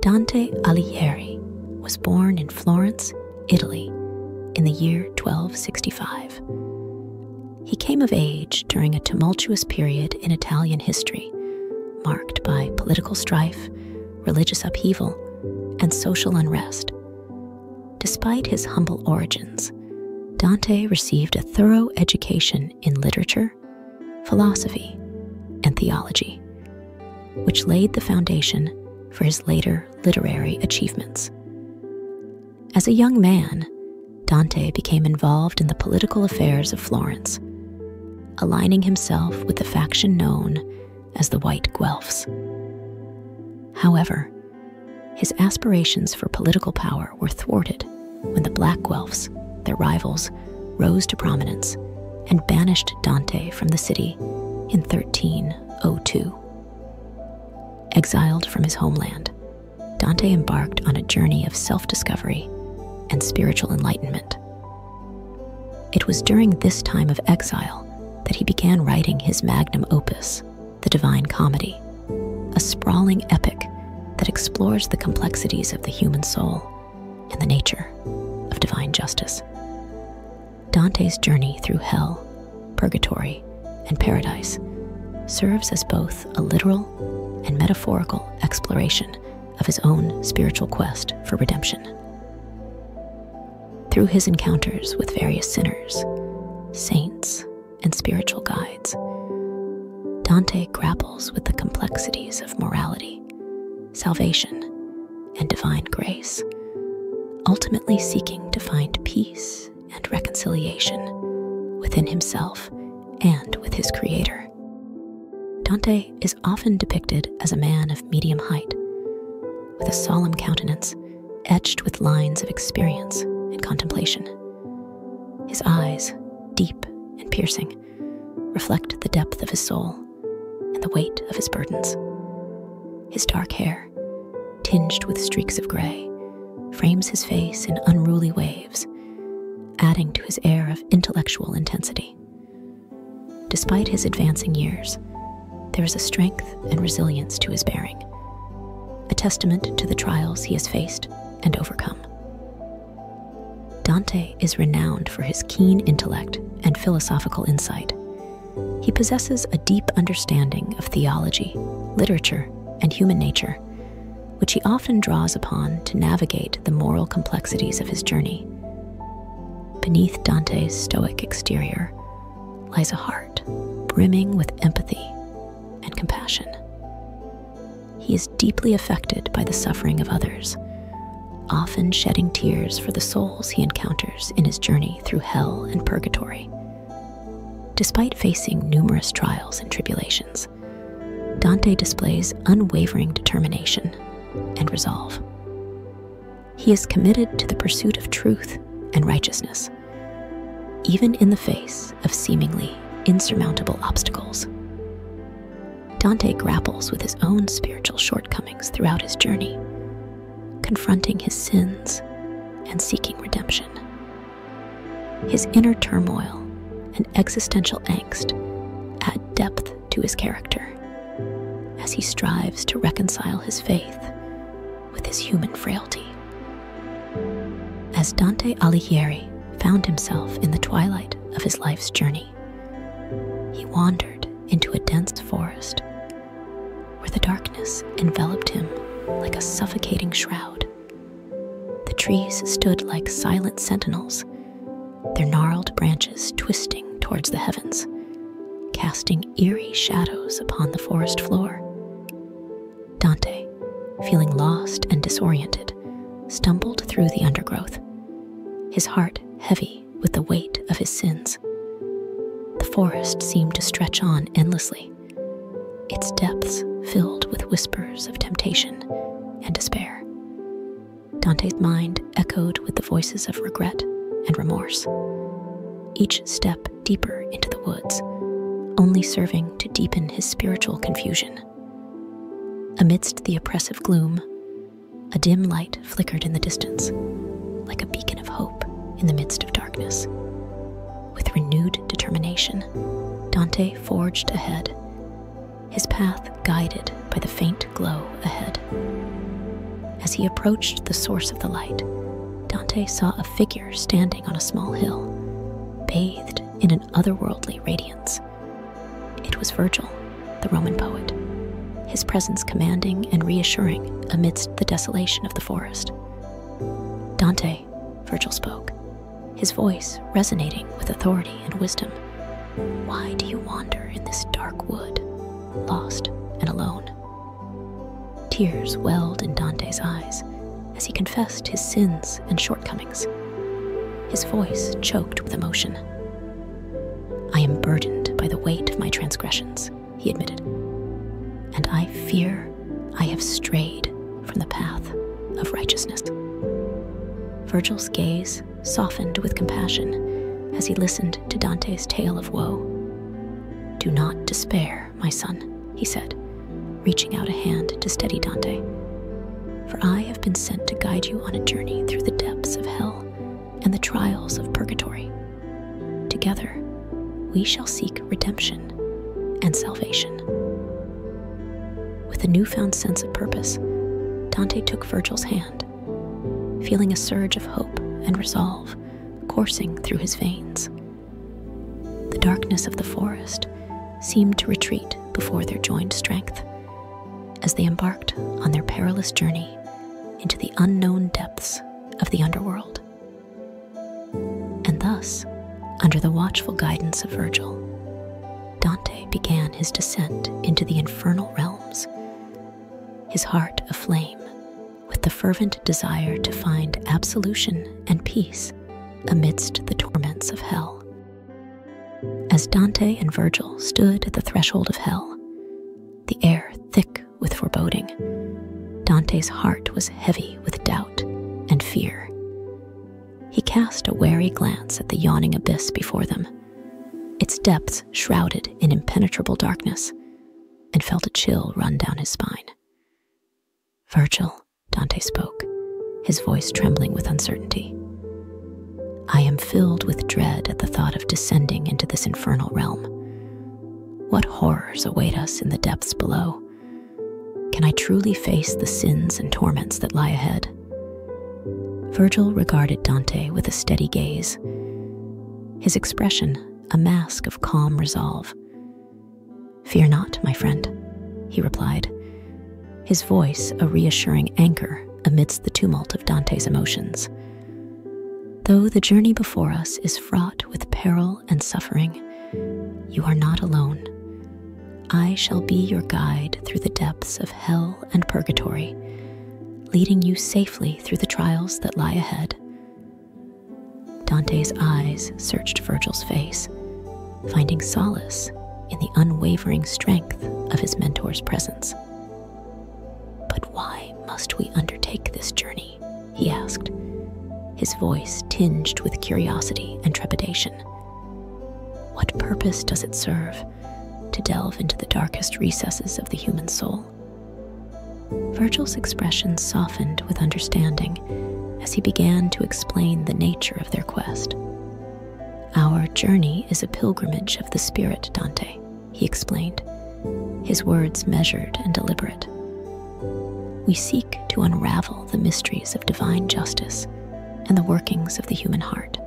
Dante Alighieri was born in Florence, Italy, in the year 1265. He came of age during a tumultuous period in Italian history, marked by political strife, religious upheaval, and social unrest. Despite his humble origins, Dante received a thorough education in literature philosophy, and theology, which laid the foundation for his later literary achievements. As a young man, Dante became involved in the political affairs of Florence, aligning himself with the faction known as the White Guelphs. However, his aspirations for political power were thwarted when the Black Guelphs, their rivals, rose to prominence and banished Dante from the city in 1302. Exiled from his homeland, Dante embarked on a journey of self discovery and spiritual enlightenment. It was during this time of exile that he began writing his magnum opus, The Divine Comedy, a sprawling epic that explores the complexities of the human soul and the nature of divine justice. Dante's journey through hell, purgatory, and paradise serves as both a literal and metaphorical exploration of his own spiritual quest for redemption. Through his encounters with various sinners, saints, and spiritual guides, Dante grapples with the complexities of morality, salvation, and divine grace, ultimately seeking to find peace and reconciliation within himself and with his creator. Dante is often depicted as a man of medium height, with a solemn countenance etched with lines of experience and contemplation. His eyes, deep and piercing, reflect the depth of his soul and the weight of his burdens. His dark hair, tinged with streaks of gray, frames his face in unruly waves, adding to his air of intellectual intensity. Despite his advancing years, there is a strength and resilience to his bearing, a testament to the trials he has faced and overcome. Dante is renowned for his keen intellect and philosophical insight. He possesses a deep understanding of theology, literature, and human nature, which he often draws upon to navigate the moral complexities of his journey. Beneath Dante's stoic exterior lies a heart brimming with empathy and compassion. He is deeply affected by the suffering of others, often shedding tears for the souls he encounters in his journey through hell and purgatory. Despite facing numerous trials and tribulations, Dante displays unwavering determination and resolve. He is committed to the pursuit of truth and righteousness, even in the face of seemingly insurmountable obstacles. Dante grapples with his own spiritual shortcomings throughout his journey, confronting his sins and seeking redemption. His inner turmoil and existential angst add depth to his character as he strives to reconcile his faith with his human frailty. As Dante Alighieri found himself in the twilight of his life's journey, he wandered into a dense forest where the darkness enveloped him like a suffocating shroud. The trees stood like silent sentinels, their gnarled branches twisting towards the heavens, casting eerie shadows upon the forest floor. Dante, feeling lost and disoriented, stumbled through the undergrowth, his heart heavy with the weight of his sins. The forest seemed to stretch on endlessly, its depths filled with whispers of temptation and despair. Dante's mind echoed with the voices of regret and remorse. Each step deeper into the woods, only serving to deepen his spiritual confusion. Amidst the oppressive gloom, a dim light flickered in the distance, like a beacon of hope in the midst of darkness. With renewed determination, Dante forged ahead, his path guided by the faint glow ahead. As he approached the source of the light, Dante saw a figure standing on a small hill, bathed in an otherworldly radiance. It was Virgil, the Roman poet, his presence commanding and reassuring amidst the desolation of the forest. Dante, Virgil spoke, his voice resonating with authority and wisdom. Why do you wander in this dark wood, lost and alone? Tears welled in Dante's eyes as he confessed his sins and shortcomings. His voice choked with emotion. I am burdened by the weight of my transgressions, he admitted, and I fear I have strayed from the path of righteousness. Virgil's gaze softened with compassion as he listened to Dante's tale of woe. Do not despair, my son, he said, reaching out a hand to steady Dante. For I have been sent to guide you on a journey through the depths of hell and the trials of purgatory. Together, we shall seek redemption and salvation. With a newfound sense of purpose, Dante took Virgil's hand, feeling a surge of hope and resolve coursing through his veins. The darkness of the forest seemed to retreat before their joined strength as they embarked on their perilous journey into the unknown depths of the underworld. And thus, under the watchful guidance of Virgil, Dante began his descent into the infernal realms, his heart aflame with the fervent desire to find absolution and peace amidst the torments of hell. As Dante and Virgil stood at the threshold of hell, the air thick with foreboding, Dante's heart was heavy with doubt and fear. He cast a wary glance at the yawning abyss before them, its depths shrouded in impenetrable darkness and felt a chill run down his spine. Virgil, Dante spoke, his voice trembling with uncertainty. I am filled with dread at the thought of descending into this infernal realm. What horrors await us in the depths below? Can I truly face the sins and torments that lie ahead? Virgil regarded Dante with a steady gaze his expression a mask of calm resolve. Fear not, my friend, he replied, his voice a reassuring anchor amidst the tumult of Dante's emotions. Though the journey before us is fraught with peril and suffering, you are not alone. I shall be your guide through the depths of hell and purgatory, leading you safely through the trials that lie ahead. Dante's eyes searched Virgil's face, finding solace in the unwavering strength of his mentor's presence. But why must we undertake this journey? he asked, his voice tinged with curiosity and trepidation. What purpose does it serve? to delve into the darkest recesses of the human soul. Virgil's expression softened with understanding as he began to explain the nature of their quest. Our journey is a pilgrimage of the spirit, Dante, he explained, his words measured and deliberate. We seek to unravel the mysteries of divine justice and the workings of the human heart,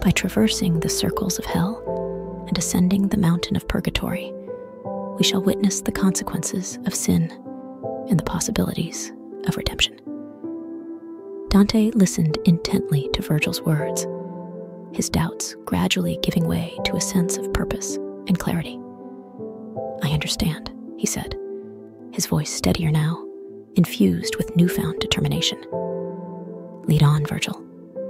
by traversing the circles of hell and ascending the mountain of purgatory, we shall witness the consequences of sin and the possibilities of redemption. Dante listened intently to Virgil's words, his doubts gradually giving way to a sense of purpose and clarity. I understand, he said, his voice steadier now, infused with newfound determination. Lead on, Virgil,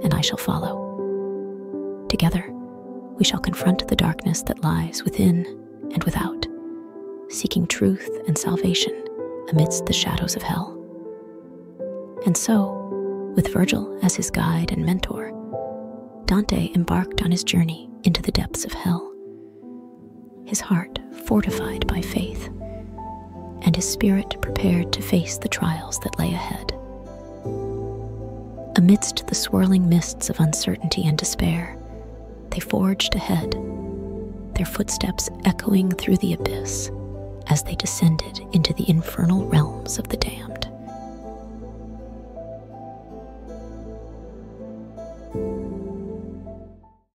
and I shall follow. Together, we shall confront the darkness that lies within and without, seeking truth and salvation amidst the shadows of hell. And so, with Virgil as his guide and mentor, Dante embarked on his journey into the depths of hell his heart fortified by faith, and his spirit prepared to face the trials that lay ahead. Amidst the swirling mists of uncertainty and despair, they forged ahead, their footsteps echoing through the abyss as they descended into the infernal realms of the damned.